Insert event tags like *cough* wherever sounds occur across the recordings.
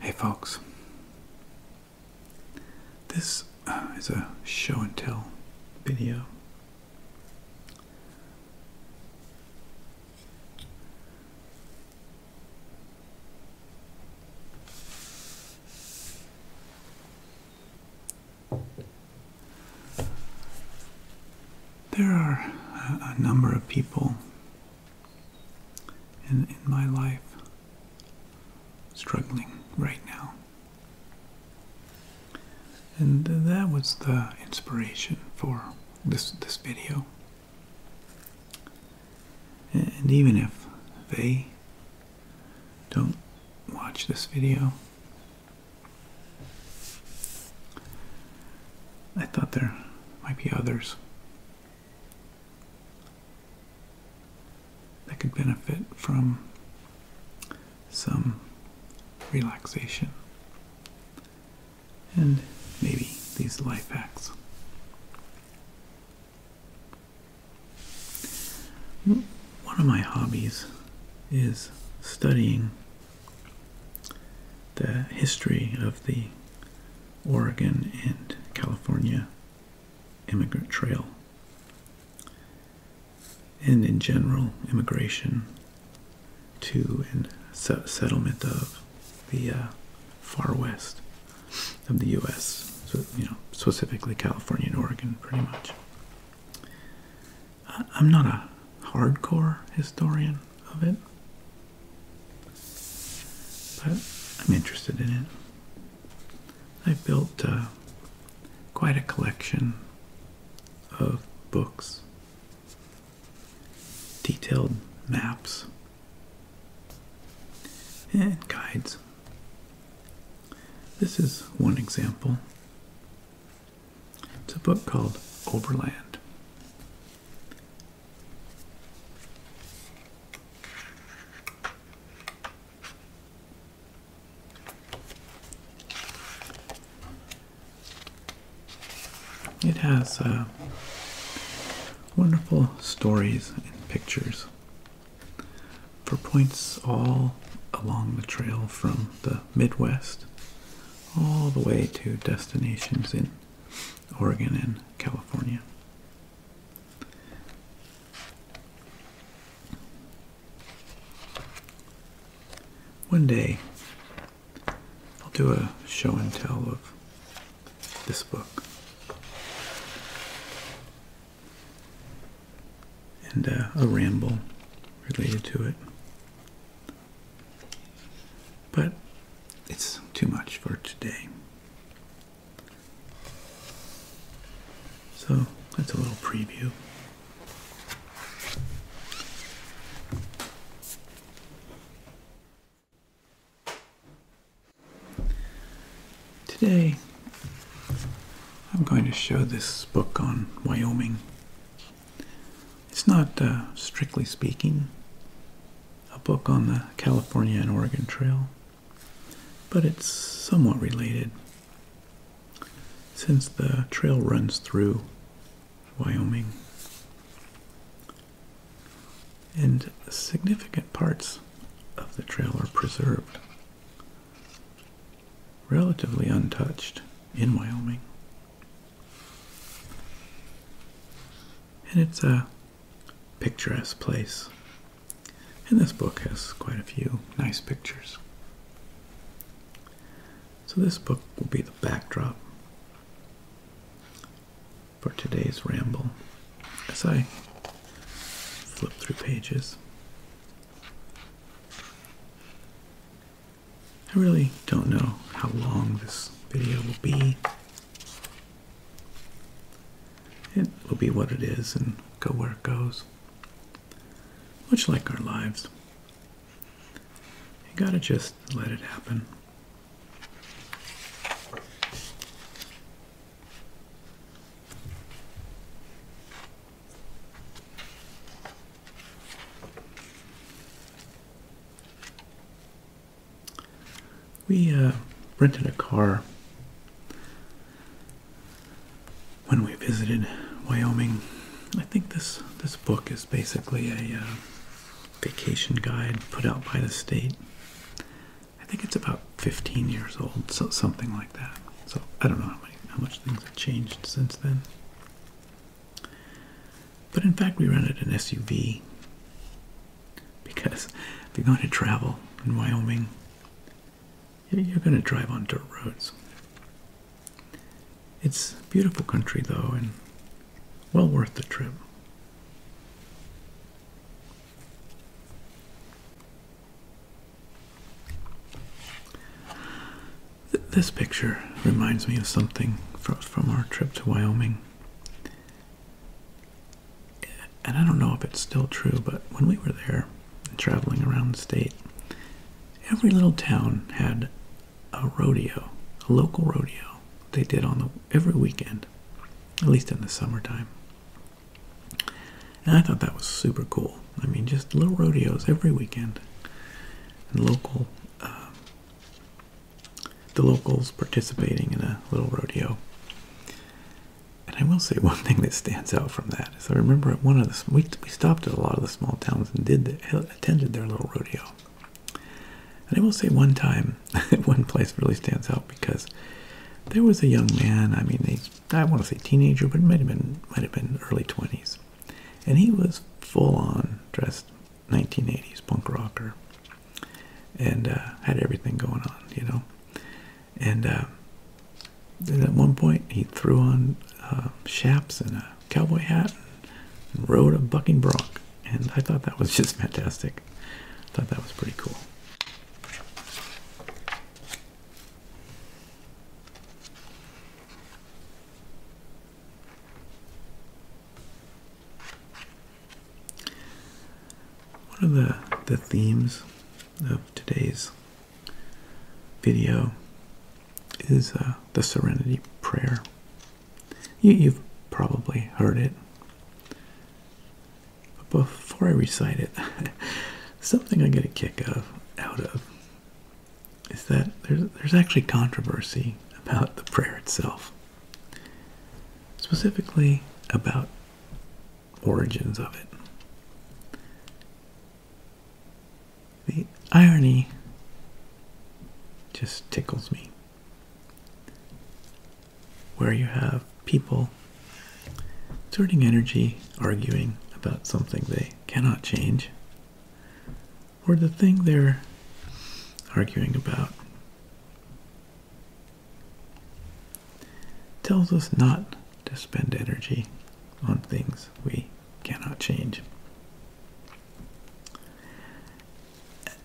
Hey folks, this uh, is a show and tell video. There are a, number of people in, in my life struggling right now. And that was the inspiration for this, this video. And even if they don't watch this video, I thought there might be others that could benefit from some relaxation and maybe these life hacks. One of my hobbies is studying the history of the Oregon and California immigrant trail, and in general, immigration to and settlement of the uh, far west of the U.S. So you know, specifically California and Oregon, pretty much. I'm not a hardcore historian of it, but I'm interested in it. I've built uh, quite a collection of books, detailed maps, and guides. This is one example. It's a book called Overland. It has uh, wonderful stories and pictures for points all along the trail from the Midwest all the way to destinations in Oregon and California. One day, I'll do a show and tell of this book and uh, a ramble related to it. But it's too much for today. So that's a little preview. Today, I'm going to show this book on Wyoming it's not, uh, strictly speaking, a book on the California and Oregon Trail, but it's somewhat related since the trail runs through Wyoming. And significant parts of the trail are preserved relatively untouched in Wyoming. And it's a picturesque place. And this book has quite a few nice pictures. So this book will be the backdrop for today's ramble as I flip through pages. I really don't know how long this video will be. It will be what it is and go where it goes. Much like our lives. You gotta just let it happen. We uh, rented a car when we visited Wyoming. I think this this book is basically a uh, vacation guide put out by the state. I think it's about 15 years old, so something so I don't know how, how much things have changed since then. But in fact, we rented an SUV because if you're going to travel in Wyoming, you're going to drive on dirt roads. It's beautiful country though, and well worth the trip this picture reminds me of something from, from our trip to Wyoming. And I don't know if it's still true, but when we were there traveling around the state, every little town had a rodeo, a local rodeo they did on the every weekend, at least in the summertime. And I thought that was super cool. I mean, just little rodeos every weekend. And local, um, the locals participating in a little rodeo. And I will say one *laughs* thing that stands out from that is I remember one of the we, we stopped at a lot of the small towns and did attended their little rodeo. And I will say one time, *laughs* one place really stands out because there was a young man. I mean, they I want to say teenager, but it might have been might have been early twenties, and he was full on dressed 1980s punk rocker, and uh, had everything going on, you know, and, uh, at one point he threw on chaps um, and a cowboy hat and rode a bucking bronc, and I thought that was *laughs* just fantastic. I thought that was pretty cool. One of the, the themes of today's video is uh, the Serenity Prayer. You, you've probably heard it. But before I recite it, *laughs* something I get a kick of out of is that there's, actually controversy about the prayer itself, specifically about origins of it. The irony just tickles me. Where you have people exerting energy arguing about something they cannot change, or the thing they're arguing about, tells us not to spend energy on things we cannot change.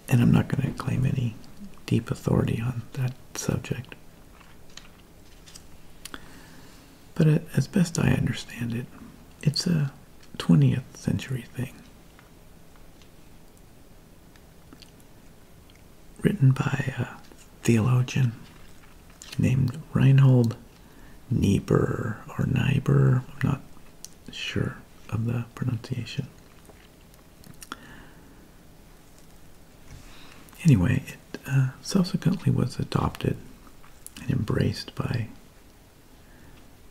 And I'm not going to claim any deep authority on that subject. But uh, as best I understand it, it's a 20th century thing. Written by a theologian named Reinhold Niebuhr or Niebuhr, I'm not sure of the pronunciation. Anyway, it uh, subsequently was adopted and embraced by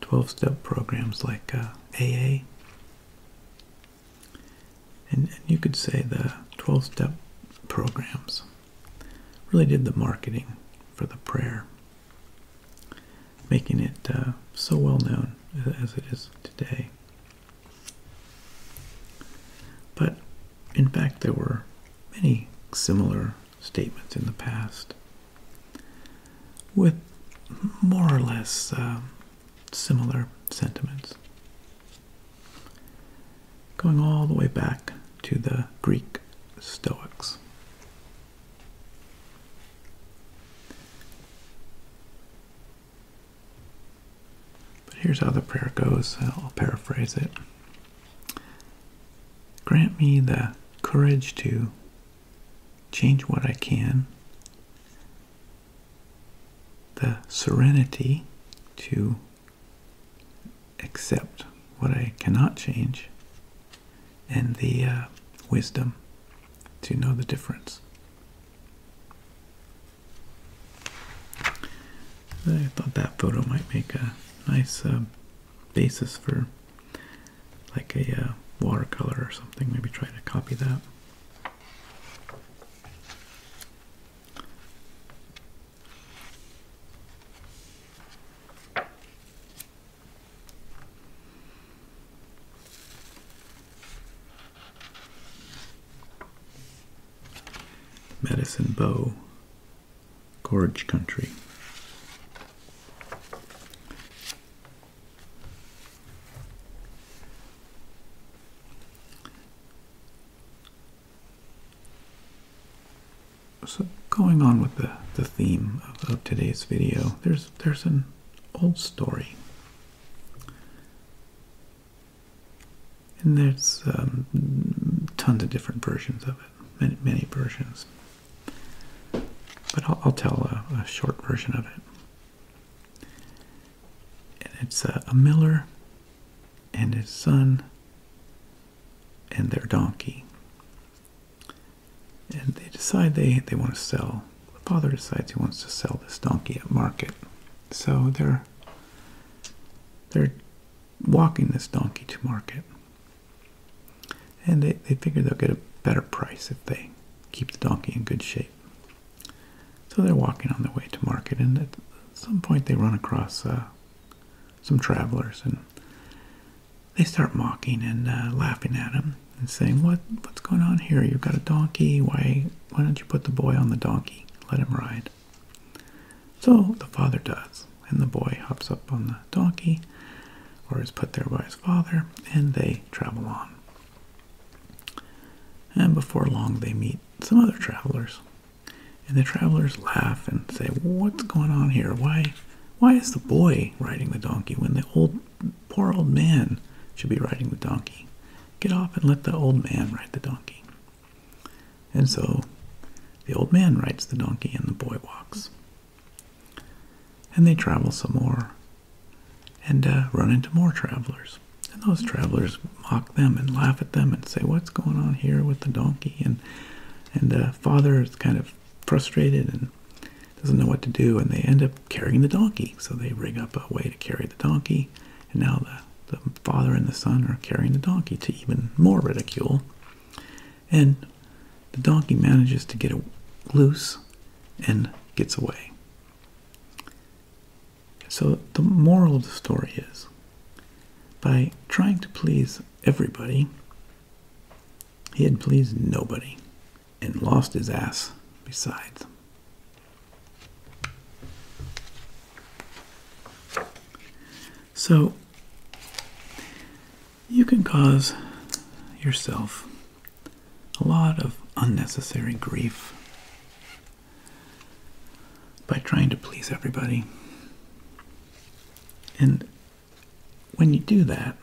12 step programs like AA. Uh, and, you could say the 12 step programs really did the marketing for the prayer, making it uh, so well known as it is today. But in fact, there were many similar statements in the past with more or less um, similar sentiments. Going all the way back to the Greek Stoics. But here's how the prayer goes. I'll paraphrase it. Grant me the courage to change what I can, the serenity to accept what I cannot change, and the uh, wisdom to know the difference. I thought that photo might make a nice uh, basis for like a uh, watercolor or something. Maybe try to copy that. Medicine Bow, Gorge Country. So going on with the, the theme of, today's video, there's there's an old story and there's um, tons of different versions of it, many, versions. But I'll, tell a, short version of it. it's a miller and his son and their donkey. And they decide they, they want to sell. The father decides he wants to sell this donkey at market. So they're they're walking this donkey to market. And they, they figure they'll get a better price if they keep the donkey in good shape. So they're walking on their way to market, and at some point they run across uh, some travelers, and they start mocking and uh, laughing at him and saying, "What what's going on here? You've got a donkey. Why why don't you put the boy on the donkey? Let him ride." So the father does, and the boy hops up on the donkey, or is put there by his father, and they travel on. And before long, they meet some other travelers, and the travelers laugh and say, "What's going on here? Why, why is the boy riding the donkey when the old, poor old man should be riding the donkey? Get off and let the old man ride the donkey." And so the old man rides the donkey and the boy walks. And they travel some more and uh, run into more travelers. And those travelers mock them and laugh at them and say, What's going on here with the donkey? And, and the father is kind of frustrated and doesn't know what to do. And they end up carrying the donkey. So they rig up a way to carry the donkey. And now the, the father and the son are carrying the donkey to even more ridicule. And the donkey manages to get loose and gets away. So the moral of the story is by trying to please everybody, he had pleased nobody and lost his ass besides. So, you can cause yourself a lot of unnecessary grief by trying to please everybody. And when you do that,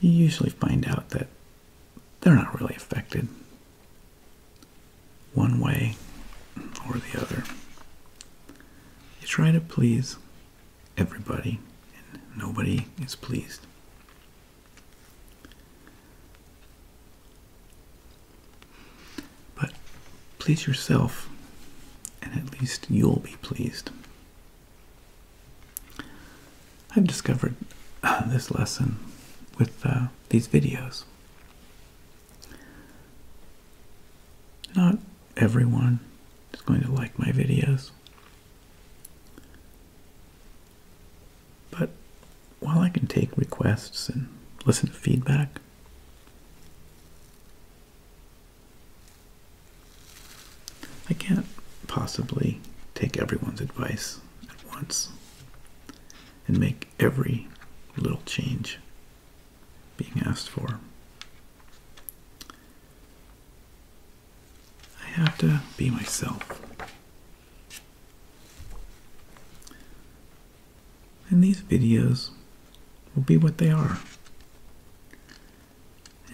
you usually find out that they're not really affected one way or the other. You try to please everybody, and nobody is pleased. But please yourself, and at least you'll be pleased. I've discovered uh, this lesson with uh, these videos. Not everyone is going to like my videos. But while I can take requests and listen to feedback, I can't possibly take everyone's advice at once and make every little change being asked for. I have to be myself. And these videos will be what they are.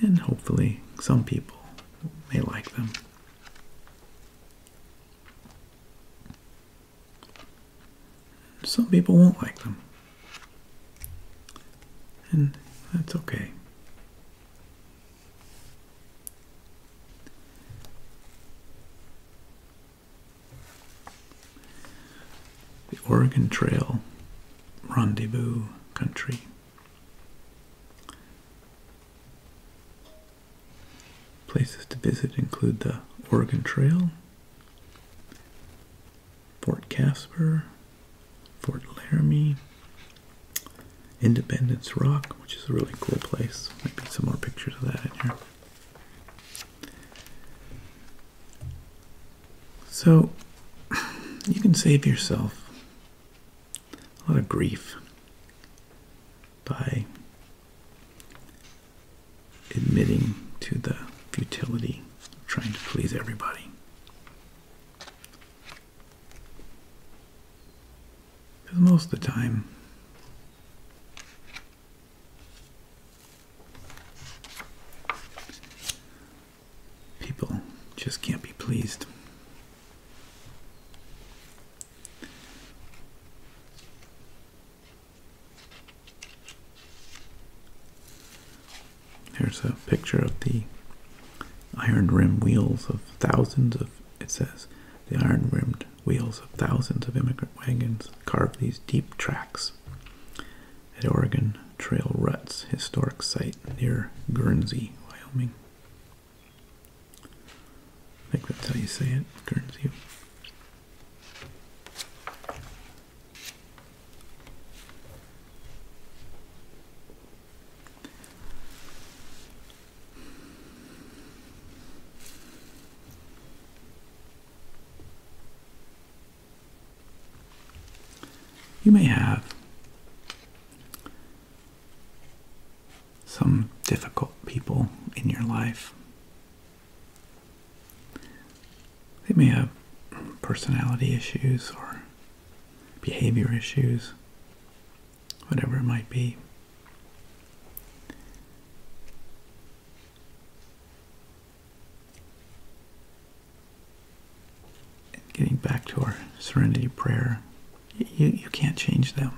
And hopefully, some people may like them. Some people won't like them. And that's okay. The Oregon Trail Rendezvous Country. Places to visit include the Oregon Trail, Fort Casper, Fort Laramie, Independence Rock, which is a really cool place. Maybe some more pictures of that in here. So you can save yourself a lot of grief by admitting to the futility of trying to please everybody. Because most of the time, people just can't be pleased. Here's a picture of the iron rimmed wheels of thousands of, it says, the iron rimmed wheels of thousands of immigrant wagons carved these deep tracks at Oregon Trail Ruts Historic Site near Guernsey, Wyoming. I think that's how you say it, Guernsey. You may have some difficult people in your life. They may have personality issues or behavior issues, whatever it might be. getting back to our serenity prayer, you, you can't change them.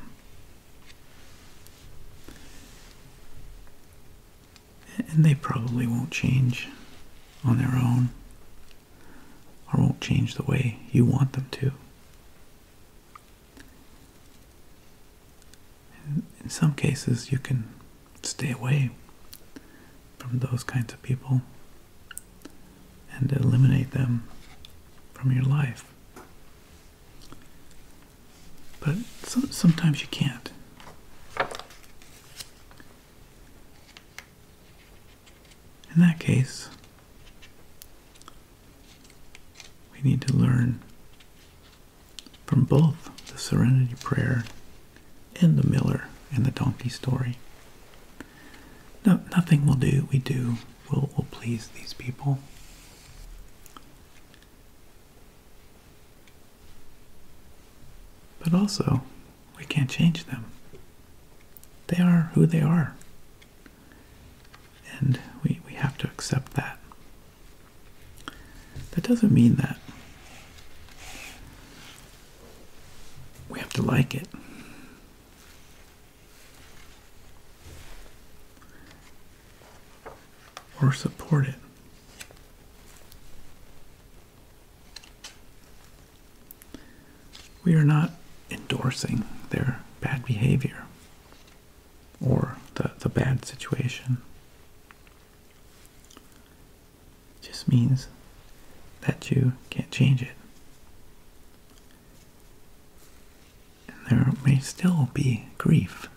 And they probably won't change on their own or won't change the way you want them to. In some cases, you can stay away from those kinds of people and eliminate them from your life. But sometimes you can't. In that case, we need to learn from both the Serenity Prayer and the Miller and the Donkey story. No, nothing will do we do will will please these people. But also, we can't change them. They are who they are. And we, we have to accept that. That doesn't mean that we have to like it or support it. We are not endorsing their bad behavior or the, the bad situation. It just means that you can't change it there may still be grief,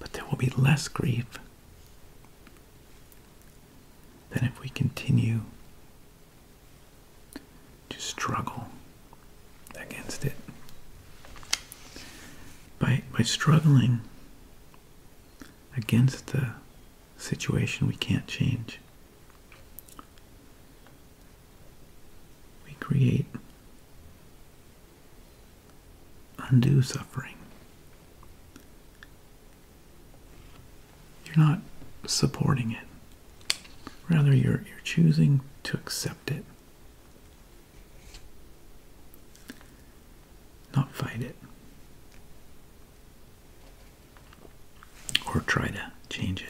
but there will be less grief than if we continue to struggle against it. By, by struggling against the situation we can't change, we create undo suffering. You're not supporting it. Rather, you're, you're choosing to accept it, not fight it or try to change it.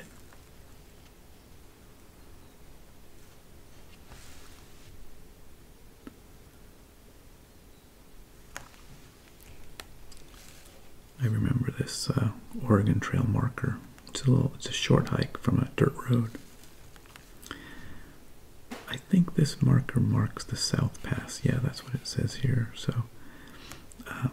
I remember this uh, Oregon Trail marker. It's a little, it's a short hike from a dirt road. I think this marker marks the South Pass. Yeah, that's what it says here. So, um,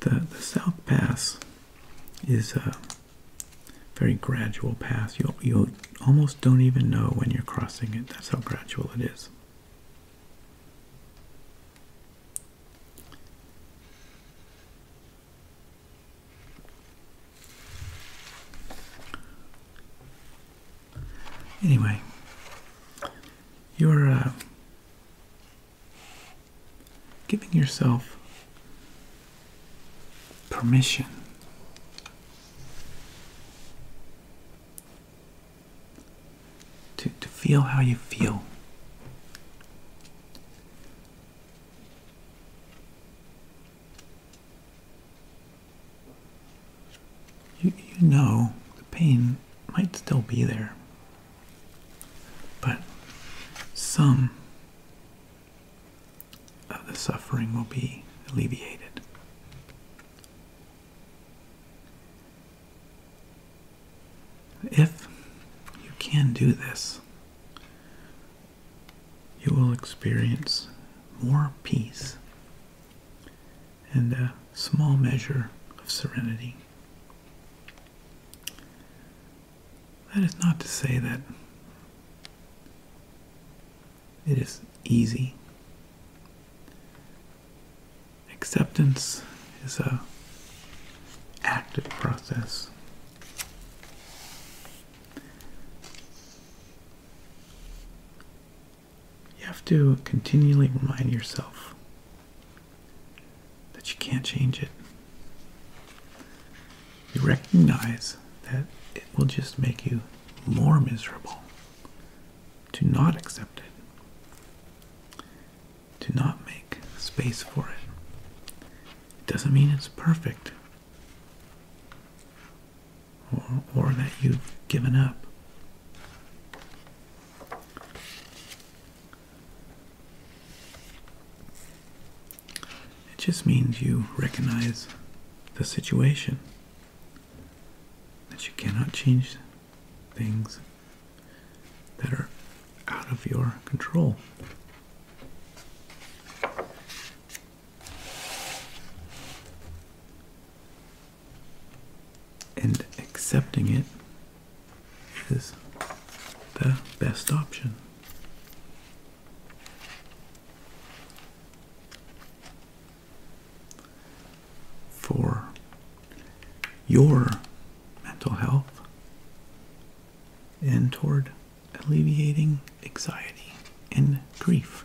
The, the South Pass is a very gradual pass. You, you almost don't even know when you're crossing it. That's how gradual it is. Anyway, you're. Uh, Giving yourself permission to, to feel how you feel. You, you know the pain might still be there. But some of the suffering will be alleviated. If you can do this, you will experience more peace and a small measure of serenity. That is not to say that it is easy. Acceptance is a active process. You have to continually remind yourself that you can't change it. You recognize that it will just make you more miserable to not accept it, to not make space for it. It doesn't mean it's perfect or, or that you've given up. It just means you recognize the situation, that you cannot change things that are out of your control. And accepting it is the best option. For your mental health and toward alleviating anxiety and grief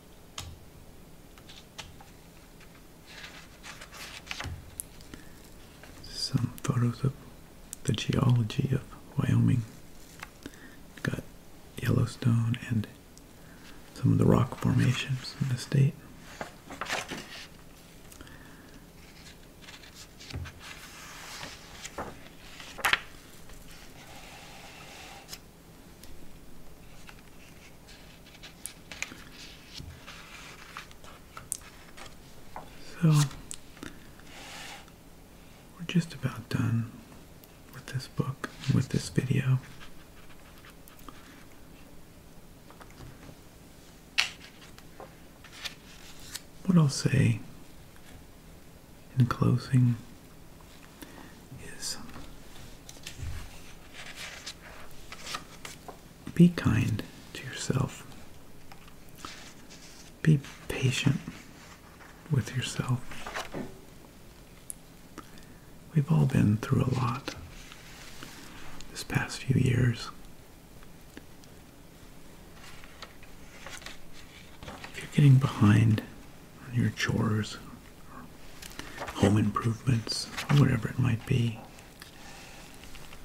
some photos of the geology of Wyoming. Got Yellowstone and some of the rock formations in the state. So, we're just about done with this book, with this video. What I'll say in closing is um, be kind to yourself. Be patient with yourself. We've all been through a lot this past few years. If you're getting behind your chores, home improvements, whatever it might be.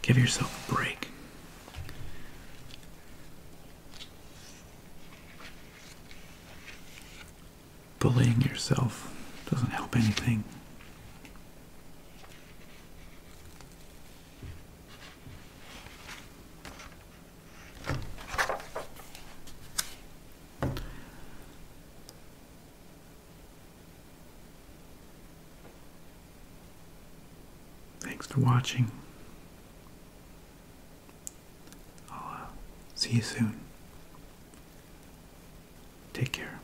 Give yourself a break. Bullying yourself doesn't help anything. Thanks for watching. I'll uh, see you soon. Take care.